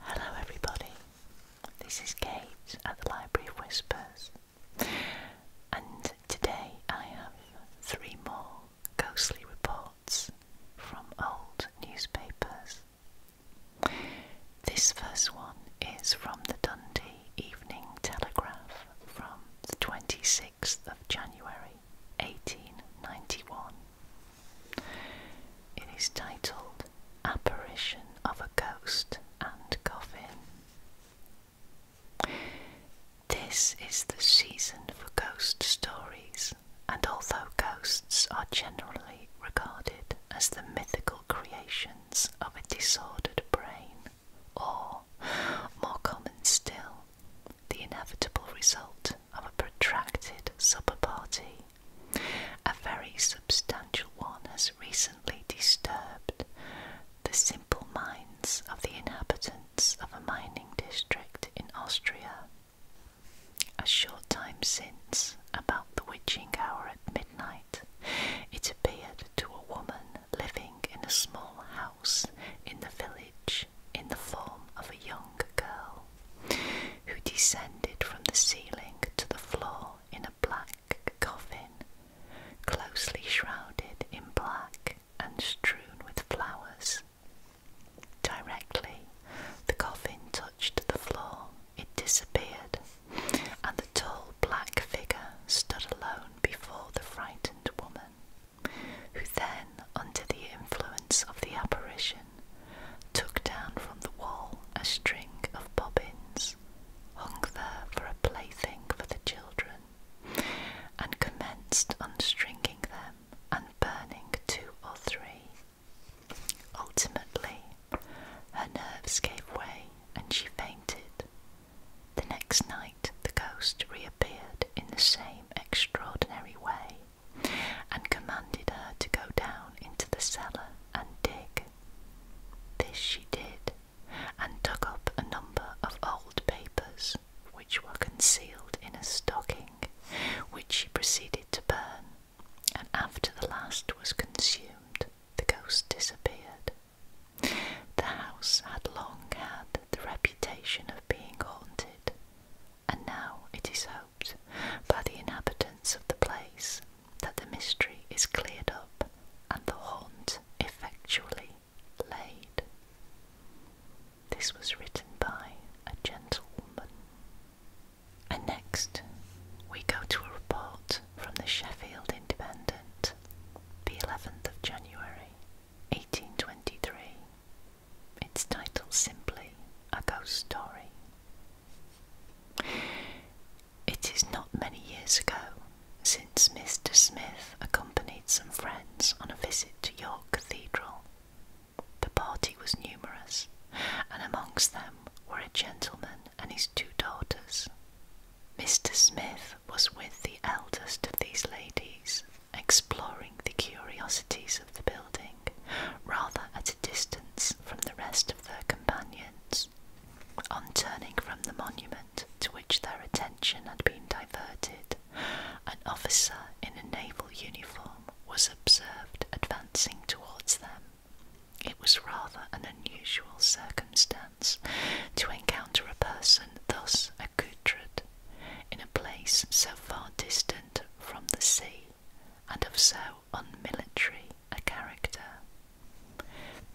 Hello, everybody. This is Kate at the Library of Whispers, and today I have three more ghostly reports from old newspapers. This first one is from the Dundee Evening Telegraph from the 26th of January 1891. It is titled Apparition of a Ghost and Coffin. This is the season for ghost stories, and although ghosts are generally regarded as the mythical creations of a disordered brain, or, more common still, the inevitable result of a protracted supper party. A very substantial one has recently disturbed the simple minds of the inhabitants of a mining district in Austria. A short time since, about the witching hour at midnight, it appeared to a woman living in a small house in the village in the form of a young girl who descended from the ceiling to the floor in a black coffin, closely shrouded in black and strewn with flowers. Directly the coffin touched the floor, it disappeared, and the tall black figure stood alone before the frightened woman who then, under the influence of the apparition, took down from the wall a string of bobbins hung there for a plaything for the children, and commenced unstringing them and burning two or three. Ultimately, her nerves gave way and she fainted. The next night, the ghost reappeared in the same extraordinary way and commanded her to go down into the cellar and dig. This she did, and dug up a number of old papers which were concealed in a stocking, which she proceeded to burn, and after the last was consumed, the ghost disappeared. The house had long had the reputation of being haunted, and now it is hoped by the inhabitants of the place that the mystery is cleared up and the haunt effectually laid. This was written by a gentlewoman. And next, we go to a report from the Sheffield Independent, the 11th of January, 1823. It's titled simply A Ghost Story. It is not many years ago since Mr. Smith accompanied some friends on a visit to York Cathedral. The party was numerous, and amongst them were a gentleman and his two daughters. Mr. Smith was with the eldest of these ladies, exploring the curiosities of the building, rather at a distance from the rest of their companions. On turning from the monument to which their attention had been diverted, an officer in a naval uniform was observed advancing towards them. It was rather an unusual circumstance to encounter a person thus accoutred, in a place so far distant from the sea and of so unmilitary a character.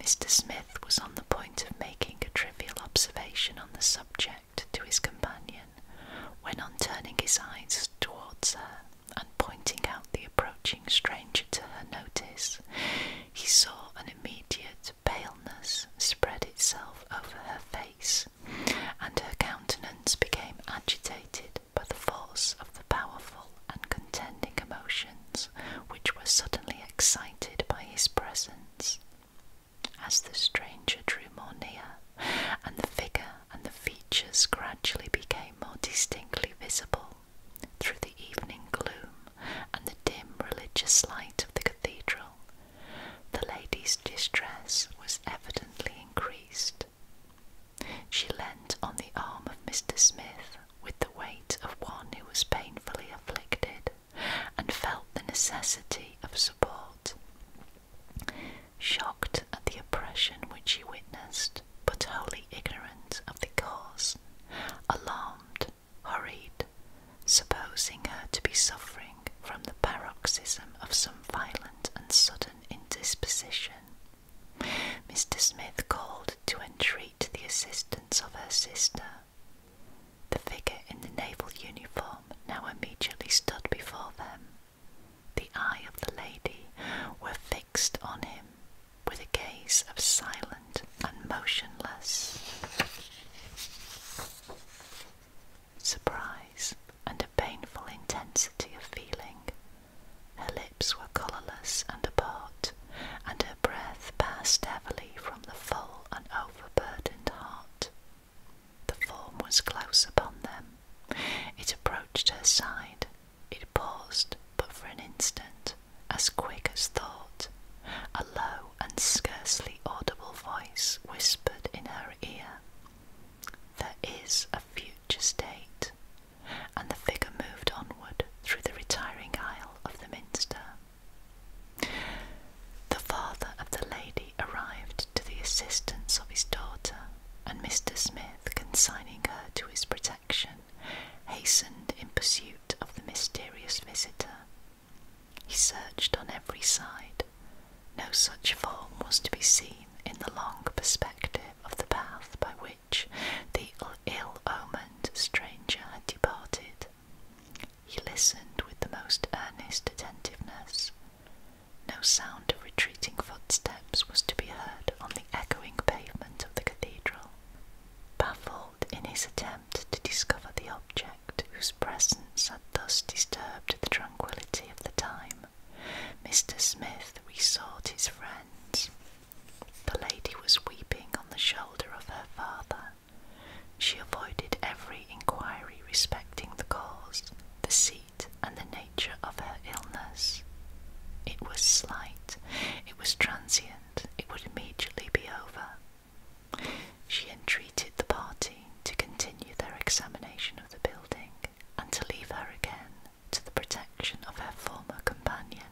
Mr. Smith was on the point of making a trivial observation on the subject to his companion, when on turning his eyes towards her and pointing out the approaching stranger to her notice, he saw an immediate paleness spread itself over her face and her countenance became agitated by the force of the powerful and contending emotions which were suddenly excited by his presence. As the stranger drew more near, and the figure and the features gradually became more distinctly visible through the evening gloom and the dim religious light of the cathedral, the lady's distress was evidently increased. She leant on the arm of Mr. Smith with the weight of one who was painfully afflicted and felt the necessity of support. Shocked at the oppression which she witnessed, but wholly ignorant of the cause, alarmed hurried, supposing her to be suffering from the paroxysm of some violent and sudden indisposition. Mr. Smith called to entreat the assistance of her sister. The figure in the naval uniform now immediately stood before them. The eye of the lady were fixed on him with a gaze of silence and motionless. Surprise and a painful intensity of feeling. Her lips were colourless and apart, and her breath passed heavily from the full and overburdened heart. The form was close upon them. It approached her side. It paused but for an instant, as quick as thought, a low and scarcely audible voice whispered in her ear. There is a future state, and the figure moved onward through the retiring aisle of the minster. The father of the lady arrived to the assistance of his daughter, and Mr. Smith, consigning her to his protection, hastened in pursuit of the mysterious visitor, he searched on every side. No such form was to be seen in the long perspective of the path by which the ill omened stranger had departed. He listened with the most earnest attentiveness. No sound of retreating footsteps was to be heard on the echoing pavement of the cathedral. Baffled in his attempt to discover the object whose presence had thus disturbed the tranquillity of the time, Mr. Smith resought his friends. The lady was weeping on the shoulder of her father. She avoided every inquiry respecting the cause, the seat, and the nature of her illness. It was slight, it was transient, it would immediately be over. She entreated the party to continue their examination of the building and to leave her again to the protection of her former companion.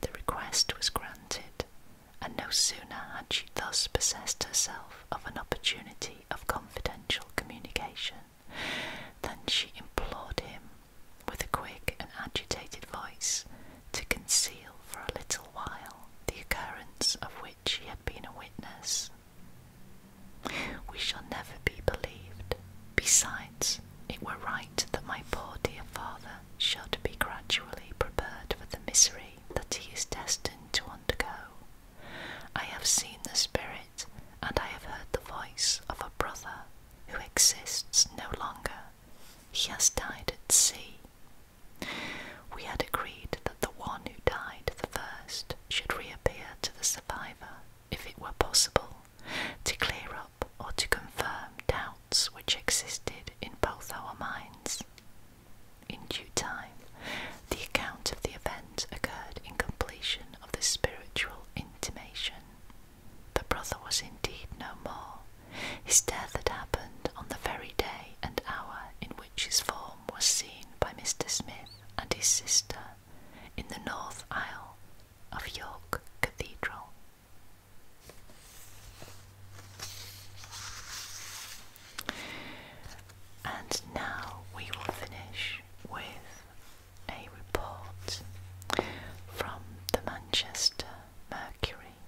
The request was granted, and no sooner had she thus possessed herself of an opportunity of confidential communication than she implored him with a quick and agitated voice to conceal for a little while the occurrence of which he had been a witness. We shall never be believed. Besides, it were right that my poor dear father should be gradually prepared for the misery that he is destined to undergo. I have seen the spirit, and I have heard the voice of a brother who exists no longer he has died at sea. We had agreed that the one who died the first should reappear to the survivor, if it were possible, to clear up or to confirm doubts which existed in both our minds. In due time, the account of the event occurred in completion of the spiritual intimation the brother was indeed no more. His death had happened on the very day and hour in which his form was seen by Mr. Smith and his sister in the north aisle of York Cathedral. And now we will finish with a report from the Manchester Mercury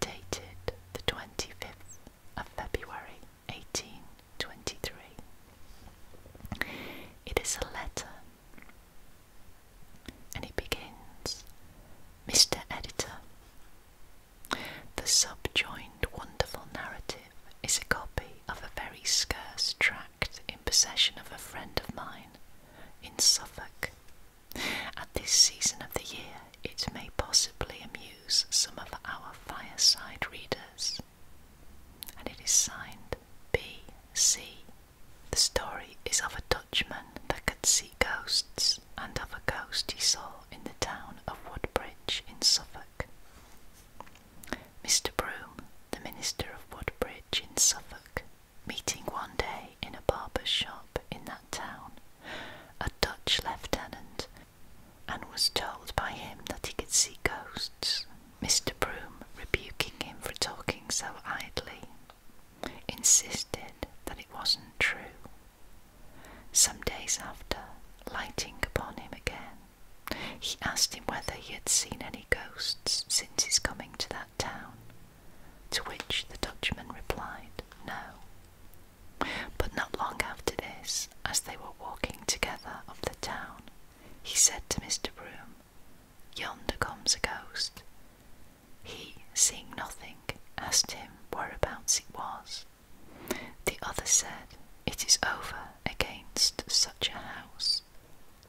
dated the 25th of February 1823. It is a letter and it begins Mr. Editor. The subjoined wonderful narrative is a copy of a very scarce tract in possession of a friend of mine in Suffolk. At this season of the year, it may possibly amuse some of our fireside readers. And it is signed B.C. The story is of a Dutchman that could see ghosts, and of a ghost he saw in the town of Woodbridge in Suffolk. Mr. Broom, the minister of Woodbridge in Suffolk, meeting one day in a barber's shop in that town a Dutch lieutenant and was told by him that he could see ghosts, Mr. Broom rebuking him for talking so idly. Insisted that it wasn't true. Some days after, lighting upon him again, he asked him whether he had seen any ghosts since his coming to that town, to which the Dutchman replied, No. But not long after this, as they were walking together up the town, he said to Mr. Broom, Yonder comes a ghost. He, seeing nothing, asked him whereabouts it was. The other said, It is over against such a house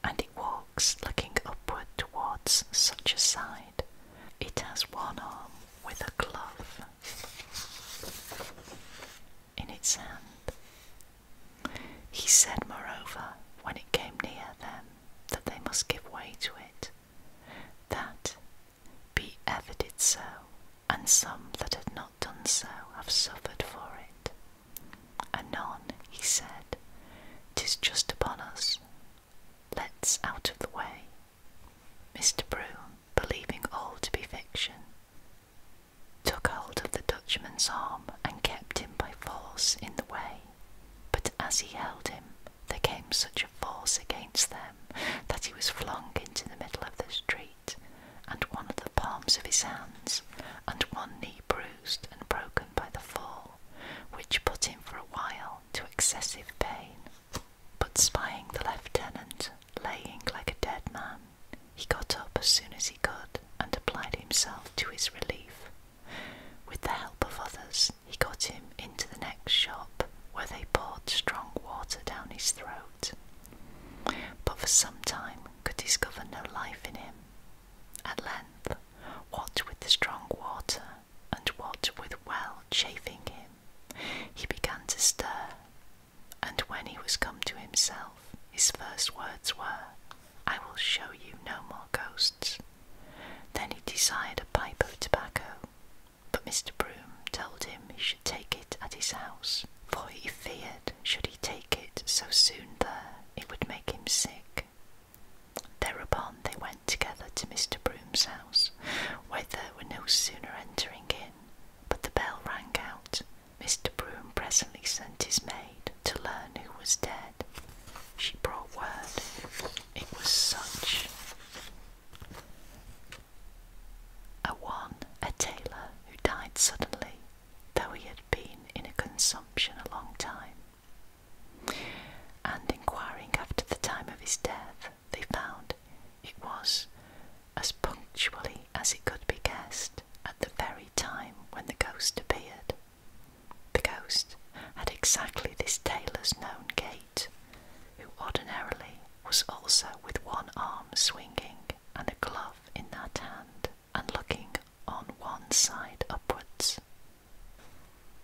and it walks looking upward towards such a side. It has one arm with a glove in its hand. He said, moreover, when it came near them, that they must give way to it, that be ever did so, and some that had not done so have suffered for it. Anon, he said, 'Tis just upon us. Let's out of the way." Mr. Broom, believing all to be fiction, took hold of the Dutchman's arm and kept him by force in the way. But as he held him, there came such a force against them that he was flung into the middle of the street and one of the palms of his hands, and one knee bruised and broken by the fall, which put him for a while to excessive pain. But spying the lieutenant laying like a dead man, he got up as soon as he could and applied himself to his relief. With the help of others, he got him into the next shop, where they poured strong water down his throat. But for some time could discover no life in him. At length, what with the strong water, and what with well chafing him, he began to stir, and when he was come to himself, his first words were, I will show you no more ghosts. Then he desired a pipe of tobacco, but Mr. Broom told him he should take it at his house, for he feared, should he take it so soon there, it would make him sick. Thereupon they went together to Mr. Broom's house, where they were no sooner entering in, but the bell rang out. Mr. Broom presently sent his maid to learn who was dead. She brought word it was such a one, a tailor, who died suddenly though he had been in a consumption a long time. And inquiring after the time of his death, they found it was as punctually as it could be guessed at the very time when the ghost appeared. The ghost had exactly this tailor's known gait, who ordinarily was also with one arm swinging and a glove in that hand and looking on one side upwards.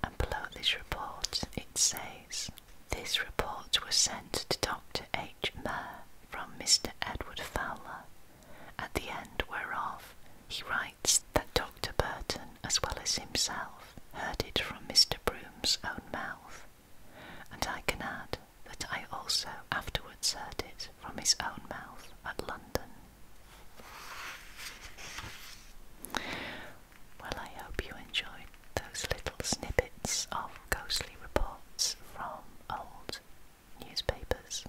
And below this report it says this report was sent to Dr. H. Murr from Mr. Edward Fowler, at the end whereof he writes that Dr. Burton, as well as himself, heard it from Mr. Broom's own mouth. And I can add that I also afterwards heard it from his own mouth at London. Well, I hope you enjoyed those little snippets of ghostly reports from old newspapers.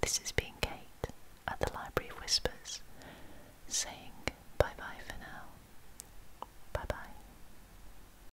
This has been Kate at the Library of Whispers saying bye bye for now. Bye bye.